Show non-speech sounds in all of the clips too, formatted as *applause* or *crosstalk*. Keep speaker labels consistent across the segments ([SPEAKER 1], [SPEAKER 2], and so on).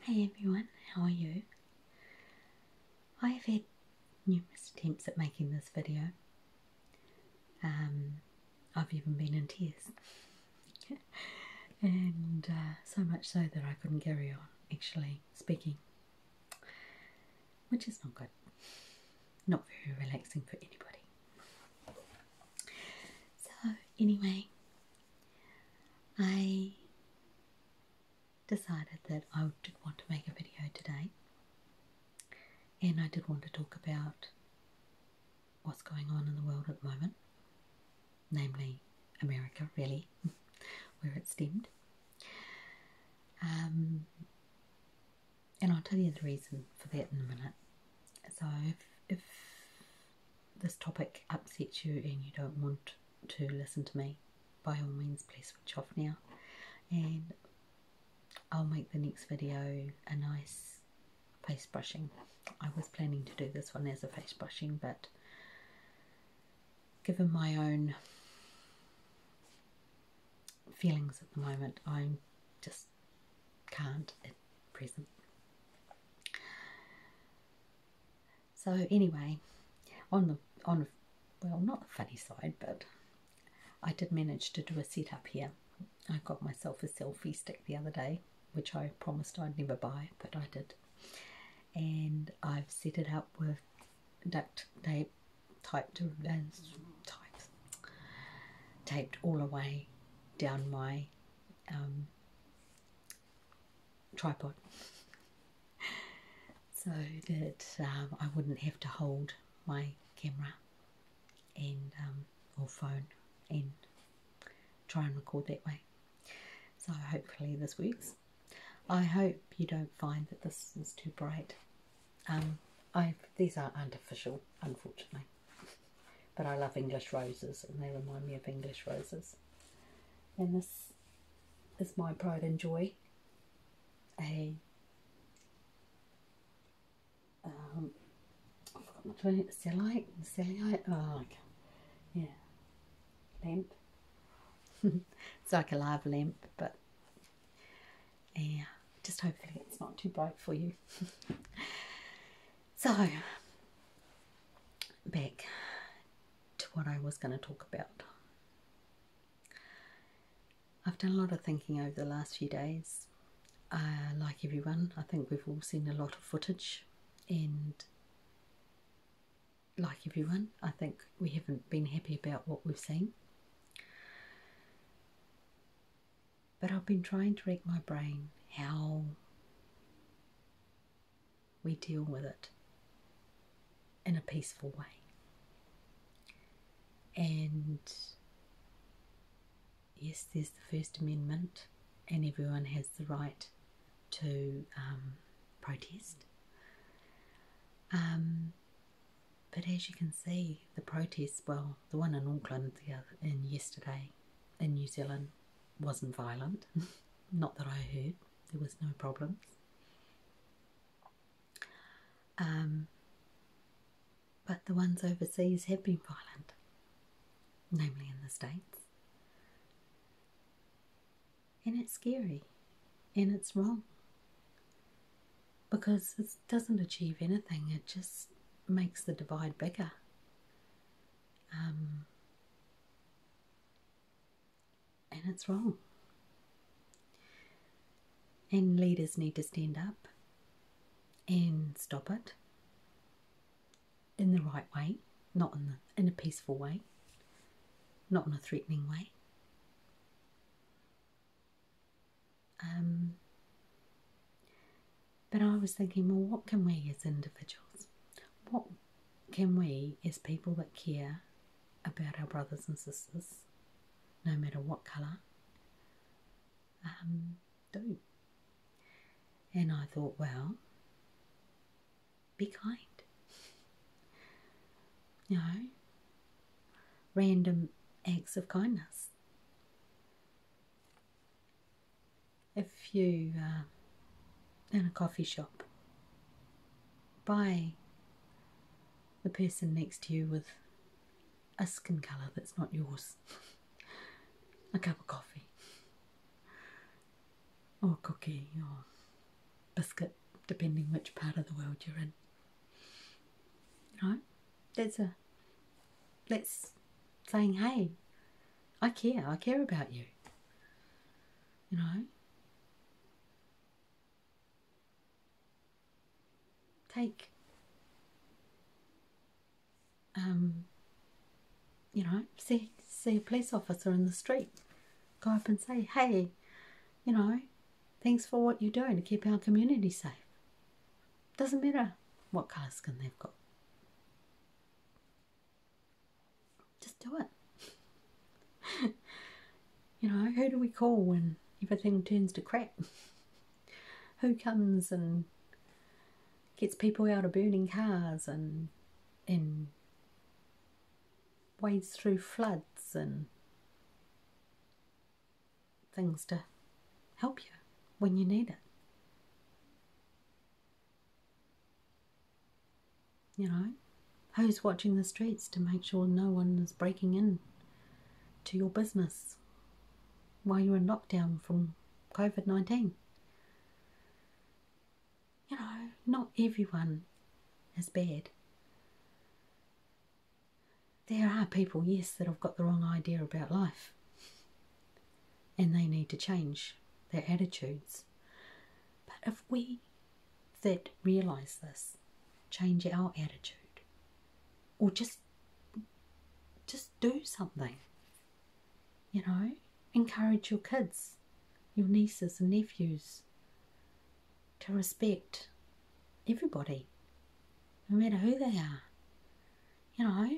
[SPEAKER 1] Hey everyone, how are you? I have had numerous attempts at making this video. Um, I've even been in tears. *laughs* and uh, so much so that I couldn't carry on actually speaking, which is not good. Not very relaxing for anybody. So, anyway, I decided that I did want to make a video today and I did want to talk about what's going on in the world at the moment, namely America, really, *laughs* where it stemmed. Um, and I'll tell you the reason for that in a minute. So if this topic upsets you and you don't want to listen to me, by all means, please switch off now. And I'll make the next video a nice face brushing. I was planning to do this one as a face brushing, but given my own feelings at the moment, I just can't at present. So anyway, on the on well not the funny side, but I did manage to do a setup here. I got myself a selfie stick the other day, which I promised I'd never buy, but I did. And I've set it up with duct tape typed uh, types taped all the way down my um, tripod so that um, I wouldn't have to hold my camera and um, or phone and try and record that way. So hopefully this works. I hope you don't find that this is too bright. Um, I these are artificial, unfortunately, but I love English roses and they remind me of English roses. And this is my pride and joy. A um, I've forgotten the cellulite, cellulite, oh, yeah, lamp. *laughs* it's like a live lamp, but yeah, just hopefully it's not too bright for you. *laughs* so, back to what I was going to talk about. I've done a lot of thinking over the last few days. like everyone, I think we've all seen a lot of footage, and like everyone, I think we haven't been happy about what we've seen. But I've been trying to rack my brain how we deal with it in a peaceful way. And yes, there's the First Amendment, and everyone has the right to um, protest. Um, but as you can see, the protests well, the one in Auckland the other, in yesterday in New Zealand wasn't violent. *laughs* Not that I heard, there was no problems. Um, but the ones overseas have been violent, namely in the States. And it's scary and it's wrong because it doesn't achieve anything, it just makes the divide bigger. Um, and it's wrong. And leaders need to stand up and stop it in the right way, not in, the, in a peaceful way, not in a threatening way. Um, but I was thinking, well, what can we as individuals, what can we, as people that care about our brothers and sisters, no matter what colour, um, do? And I thought, well, be kind. You know, random acts of kindness if you uh, in a coffee shop buy the person next to you with a skin colour that's not yours, *laughs* a cup of coffee, or a cookie, or biscuit, depending which part of the world you're in. You that's a that's saying, hey, I care, I care about you you know? Take, um, you know, see, see a police officer in the street, go up and say, hey, you know, thanks for what you're doing to keep our community safe. Doesn't matter what colour skin they've got. Just do it. *laughs* you know, who do we call when everything turns to crap? *laughs* who comes and gets people out of burning cars and and wades through floods and things to help you when you need it. You know, who's watching the streets to make sure no one is breaking in to your business while you're in lockdown from COVID 19? You know, not everyone is bad. There are people, yes, that have got the wrong idea about life and they need to change their attitudes. But if we that realize this change our attitude or just just do something you know encourage your kids your nieces and nephews to respect everybody no matter who they are you know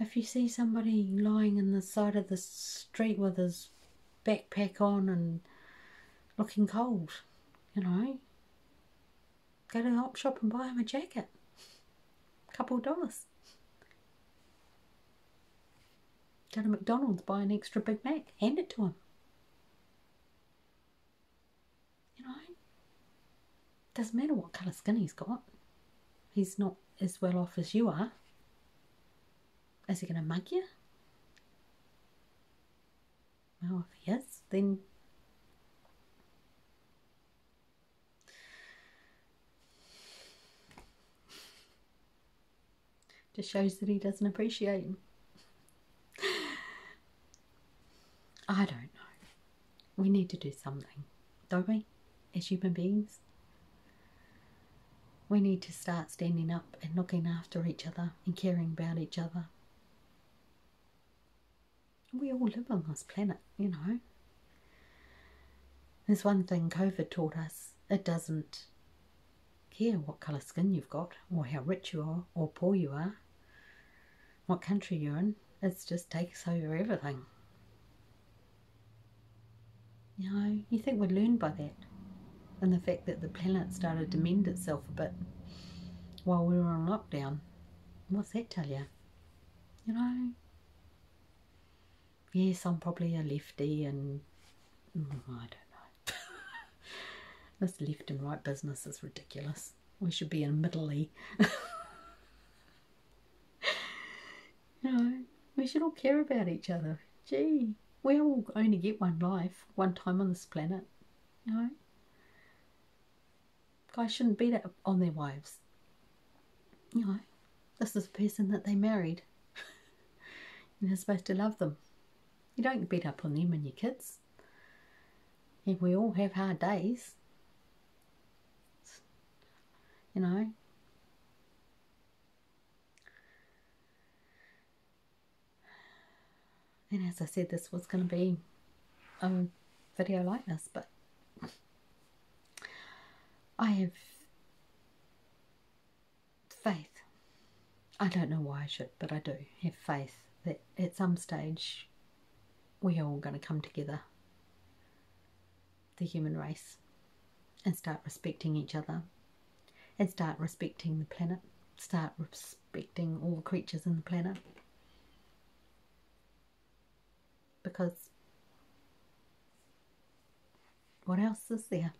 [SPEAKER 1] if you see somebody lying in the side of the street with his backpack on and looking cold, you know. Go to the shop and buy him a jacket. A couple of dollars. Go to McDonald's, buy an extra Big Mac, hand it to him. You know, doesn't matter what colour skin he's got. He's not as well off as you are. Is he going to mug you? Well, if he is, then. Just shows that he doesn't appreciate I don't know. We need to do something, don't we? As human beings, we need to start standing up and looking after each other and caring about each other. We all live on this planet, you know. There's one thing COVID taught us it doesn't care what colour skin you've got, or how rich you are, or poor you are, what country you're in, it just takes over everything. You know, you think we learned by that. And the fact that the planet started to mend itself a bit while we were on lockdown. What's that tell you? You know? Yes, I'm probably a lefty and mm, I don't know. *laughs* this left and right business is ridiculous. We should be in Middle *laughs* You know, we should all care about each other. Gee, we all only get one life, one time on this planet. You know? Guys shouldn't beat up on their wives. You know, this is the person that they married. *laughs* and you're supposed to love them. You don't beat up on them and your kids. And we all have hard days. You know, and as I said, this was going to be a video like this, but I have faith. I don't know why I should, but I do have faith that at some stage we're all going to come together, the human race and start respecting each other and start respecting the planet, start respecting all creatures on the planet. Because what else is there?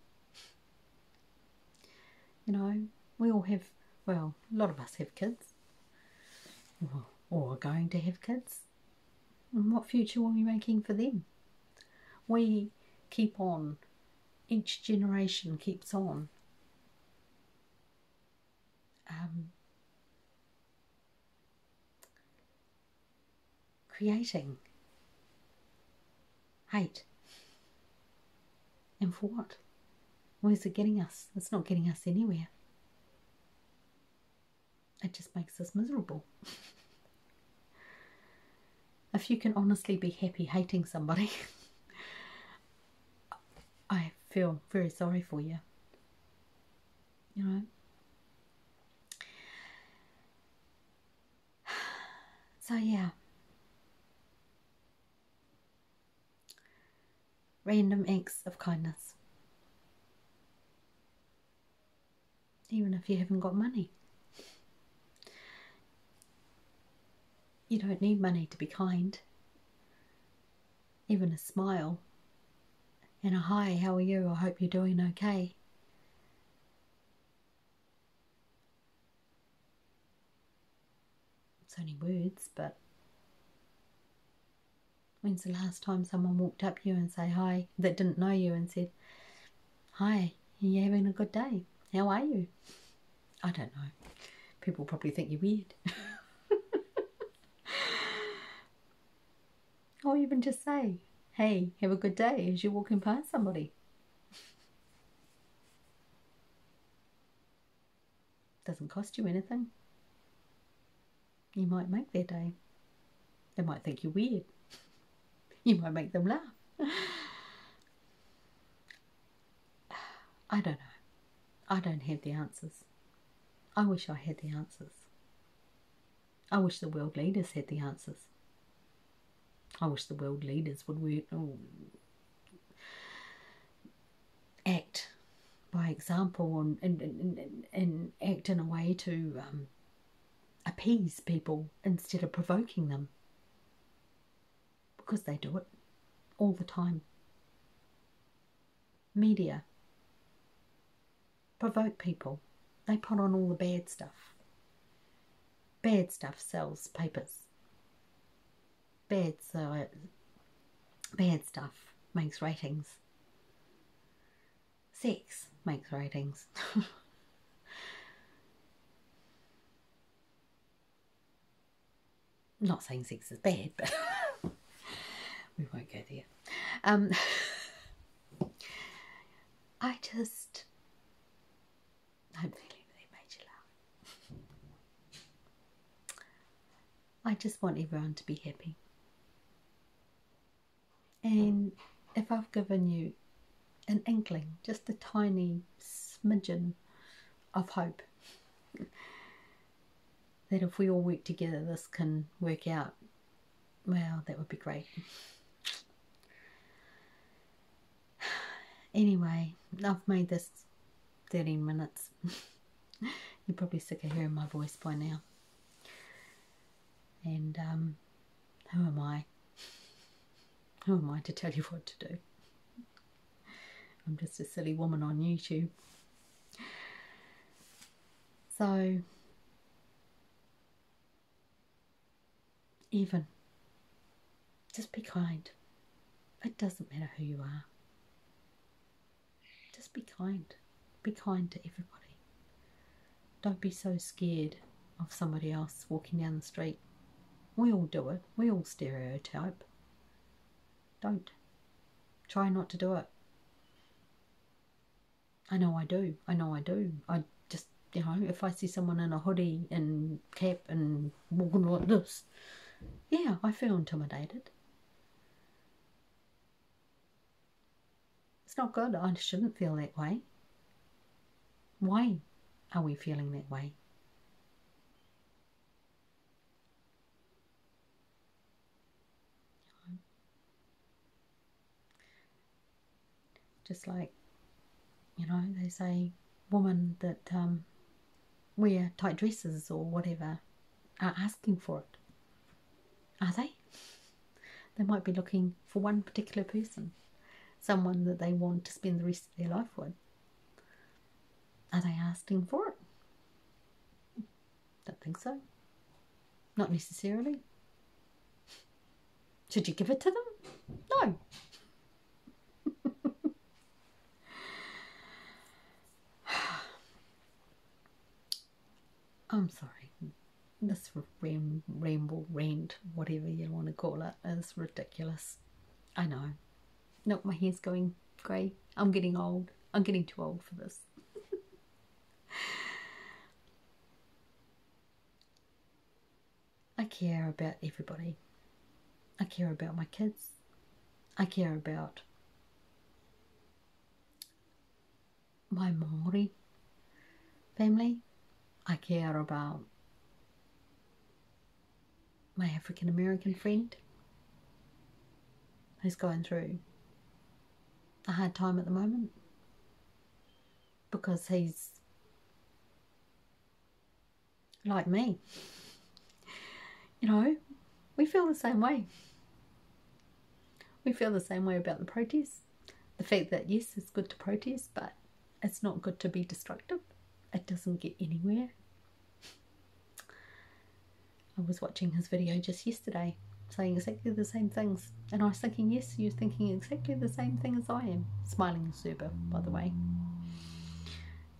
[SPEAKER 1] You know, we all have, well, a lot of us have kids or are going to have kids. And what future are we making for them? We keep on, each generation keeps on. Um, creating hate. And for what? What is it getting us? It's not getting us anywhere. It just makes us miserable. *laughs* if you can honestly be happy hating somebody, *laughs* I feel very sorry for you. You know? *sighs* So, yeah. Random acts of kindness even if you haven't got money. You don't need money to be kind. Even a smile and a hi, how are you? I hope you're doing okay. It's only words, but when's the last time someone walked up to you and say hi that didn't know you and said, Hi, are you having a good day? How are you? I don't know. People probably think you're weird. or *laughs* even just say, hey, have a good day as you're walking past somebody. Doesn't cost you anything. You might make their day. They might think you're weird you might make them laugh. I don't know. I don't have the answers. I wish I had the answers. I wish the world leaders had the answers. I wish the world leaders would work, oh, act by example and, and, act in a way to um, appease people instead of provoking them because they do it all the time. Media provoke people, they put on all the bad stuff. Bad stuff sells papers. Bad, so, bad stuff makes ratings. Sex makes ratings. *laughs* I'm not saying six is bad, but *laughs* we won't go there. Um, *laughs* I just. I'm feeling really made you I just want everyone to be happy. And if I've given you an inkling, just a tiny smidgen of hope *laughs* that if we all work together, this can work out. Well, that would be great. *sighs* Anyway, I've made this 13 minutes. *laughs* You're probably sick of hearing my voice by now. And um, who am I? Who am I to tell you what to do? I'm just a silly woman on YouTube. So, even just be kind. It doesn't matter who you are. Just be kind. Be kind to everybody. Don't be so scared of somebody else walking down the street we all do it. We all stereotype. Don't. Try not to do it. I know I do. I know I do. I just, you know, if I see someone in a hoodie and cap and walking like this, yeah, I feel intimidated. It's not good. I shouldn't feel that way. Why are we feeling that way? Just like, you know, they say, women that um, wear tight dresses or whatever are asking for it. Are they? They might be looking for one particular person, someone that they want to spend the rest their life would. Are they asking for it. Don't think so. Not necessarily. Should you give it to them? No. *sighs* I'm sorry. This ramble, ramble, rant, whatever you want to call it, is ridiculous. I know. Nope, my hair's going grey. I'm getting old. I'm getting too old for this. I care about everybody. I care about my kids. I care about my Maori family. I care about my African American friend who's going through a hard time at the moment because he's like me. You know, we feel the same way. We feel the same way about the protests. The fact that, yes, it's good to protest, but it's not good to be destructive, it doesn't get anywhere. I was watching his video just yesterday saying exactly the same things, and I was thinking, yes, you're thinking exactly the same thing as I am. Smiling Zuba, by the way.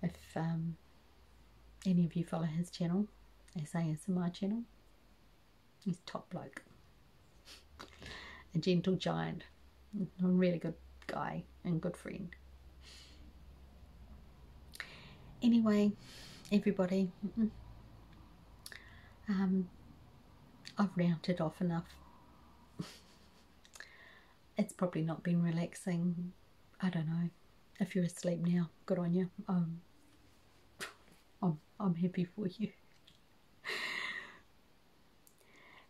[SPEAKER 1] If um, any of you follow his channel, his my channel, he's top bloke. A gentle giant a really good guy and good friend. Anyway, everybody, um, I've rounded off enough. *laughs* it's probably not been relaxing. I don't know. If you're asleep now, good on you. Um, *laughs* I'm, I'm happy for you.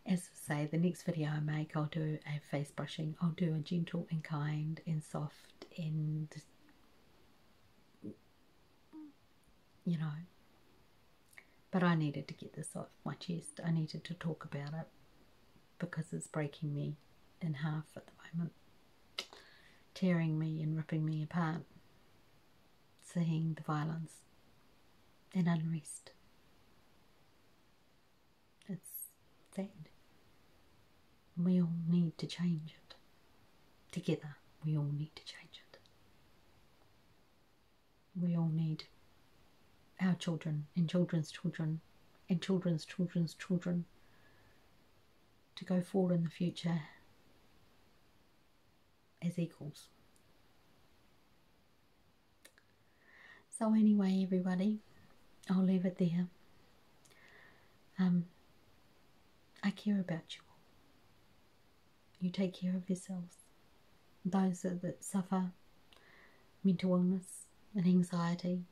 [SPEAKER 1] As I say, the next video I make, I'll do a face brushing. I'll do a gentle and kind and soft and, you know. But I needed to get this off my chest. I needed to talk about it because it's breaking me in half at the moment, tearing me and ripping me apart, seeing the violence and unrest. It's dead. we all need to change it. Together, we all need to change it. We all need our children and children's children and children's children's children to go forward in the future as equals. So, anyway, everybody, I'll leave it there. Um, I care about you all. You take care of yourselves. Those that suffer mental illness and anxiety,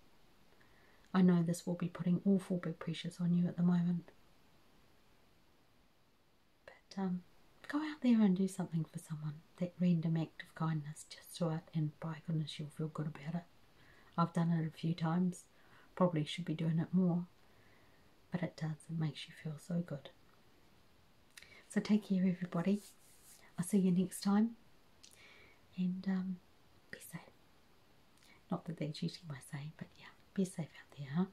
[SPEAKER 1] I know this will be putting awful big pressures on you at the moment. But um, go out there and do something for someone. That random act of kindness, just do it, and by goodness, you'll feel good about it. I've done it a few times, probably should be doing it more, but it does, it makes you feel so good. So, take care, everybody. I'll see you next time, and um, be safe. Not that they're cheating by saying, but yeah, be safe out there, huh?